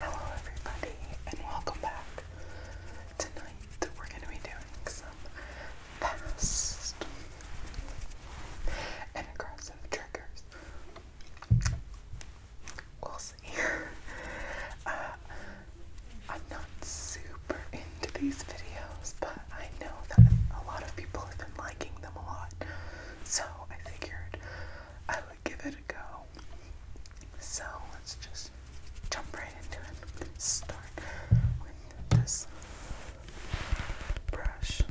Hello everybody and welcome back. Tonight we're going to be doing some fast and aggressive triggers. We'll see. Uh, I'm not super into these videos, but I know that a lot of people have been liking them a lot. So I figured I would give it a go so let's just jump right into it. Start with this brush.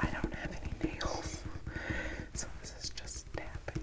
I don't have any nails, so this is just tapping.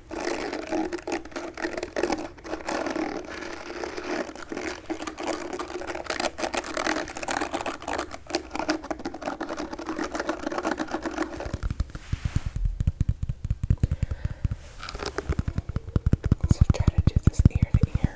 So try to do this ear to ear.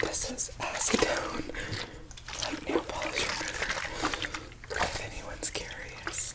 This is acetone, like nail polish remover, if anyone's curious.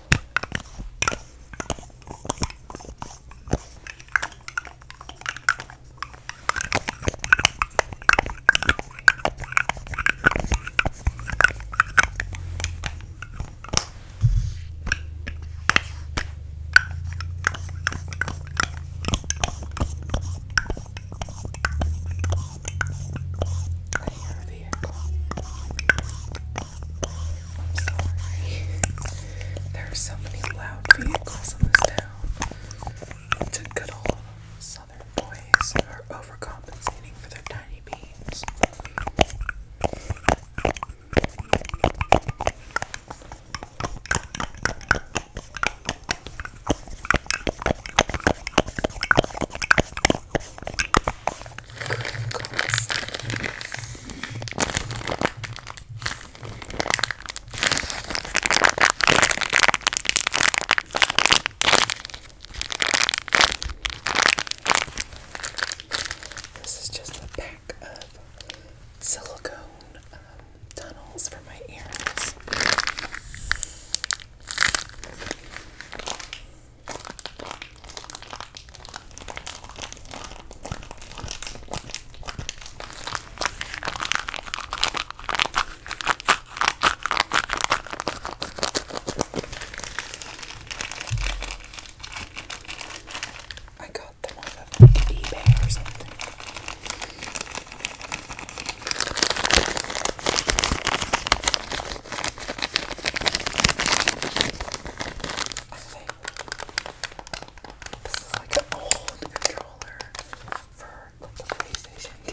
I hear a vehicle. There are so many loud vehicles in this town. To good old southern boys are overcompensating for their tiny beans. This is just a pack of silicone um, tunnels for my earrings. I got them off of like eBay or something think this is like an old controller for like the PlayStation 2.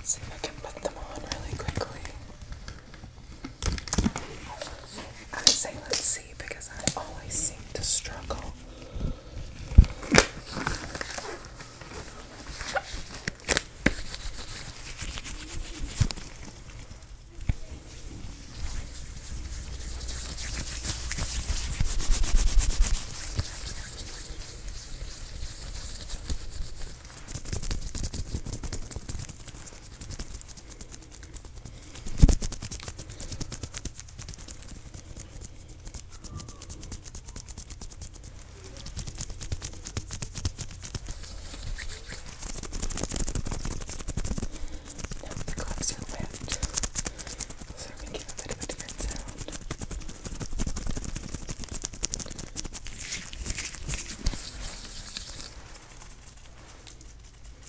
Let's see if I can put them on really quickly. I say let's see because I always seem to struggle. Now the gloves are wet, so they're making a bit of a different sound. Move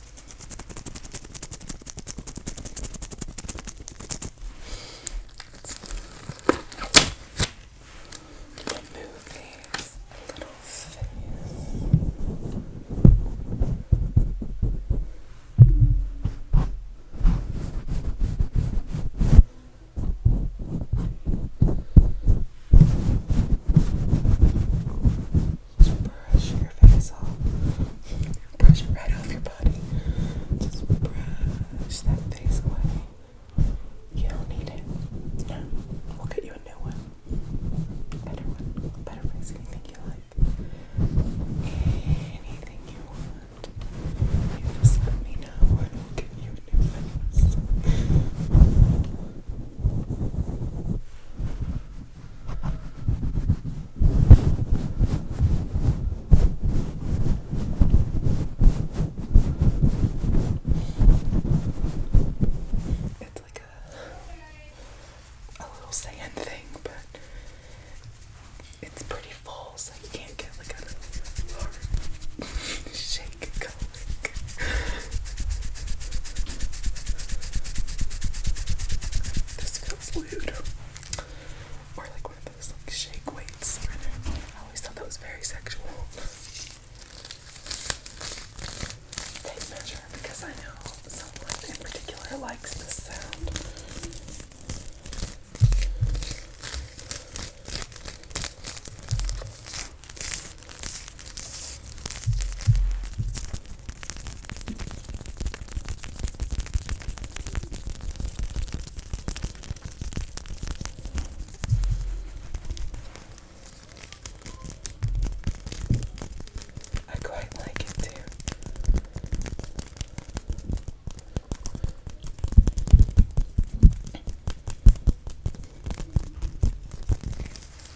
these little face. All just brush your face off. Brush it right off your body. Just brush that face away. You don't need it. No. We'll get you a new one. Better one. Better face. Anything you like. Anything you want. just let me know and we'll get you a new face. It's like a a little sand thing, but it's pretty full, so you can't get like a hard shape. This feels lewd. Or like one of those like shake weights. I always thought that was very sexual. Tape measure because I know someone in particular likes this sound. I quite like it too.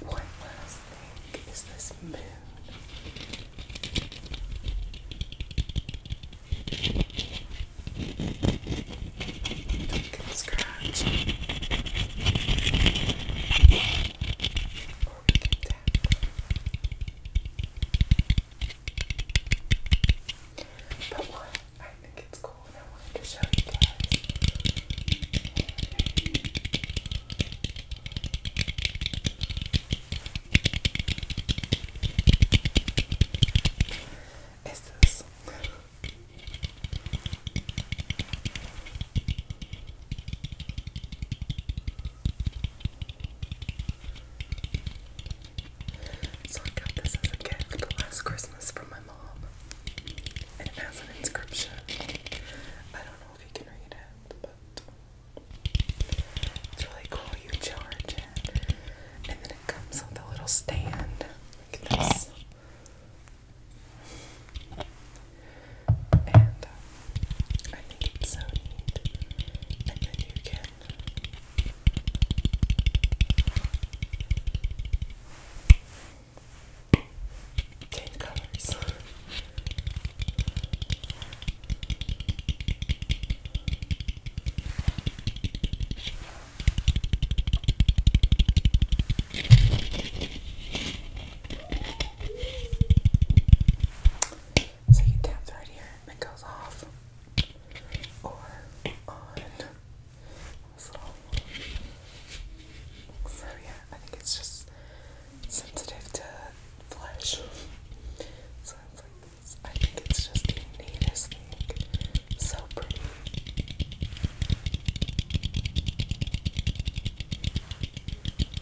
One last thing is this moon. Don't get scratched. Or we can but what I think it's cool I wanted to show you guys is this. So I got this as a gift last Christmas from my mom. And it has an inscription. I don't know if you can read it, but it's really cool. You charge it. And then it comes with a little stand. Look at this. And uh, I think it's so neat. And you can change colors. So you taps right here it goes off. Or on so yeah, I think it's just sensitive to flesh. So like this. I think it's just the neatest thing. So pretty. Okay.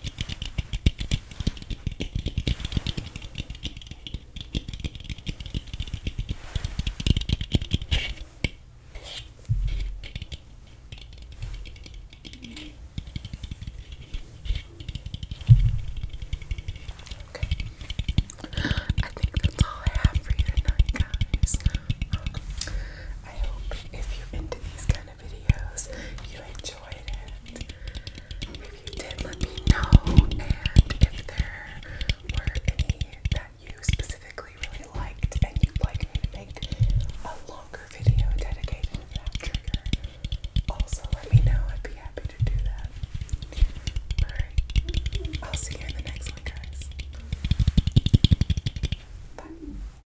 I think that's all I have for you tonight, guys. I hope if you into these guys kind of videos you enjoyed it. If you did, let me know. And if there were any that you specifically really liked and you'd like me to make a longer video dedicated to that trigger, also let me know. I'd be happy to do that. Alright, I'll see you in the next one, guys. Bye.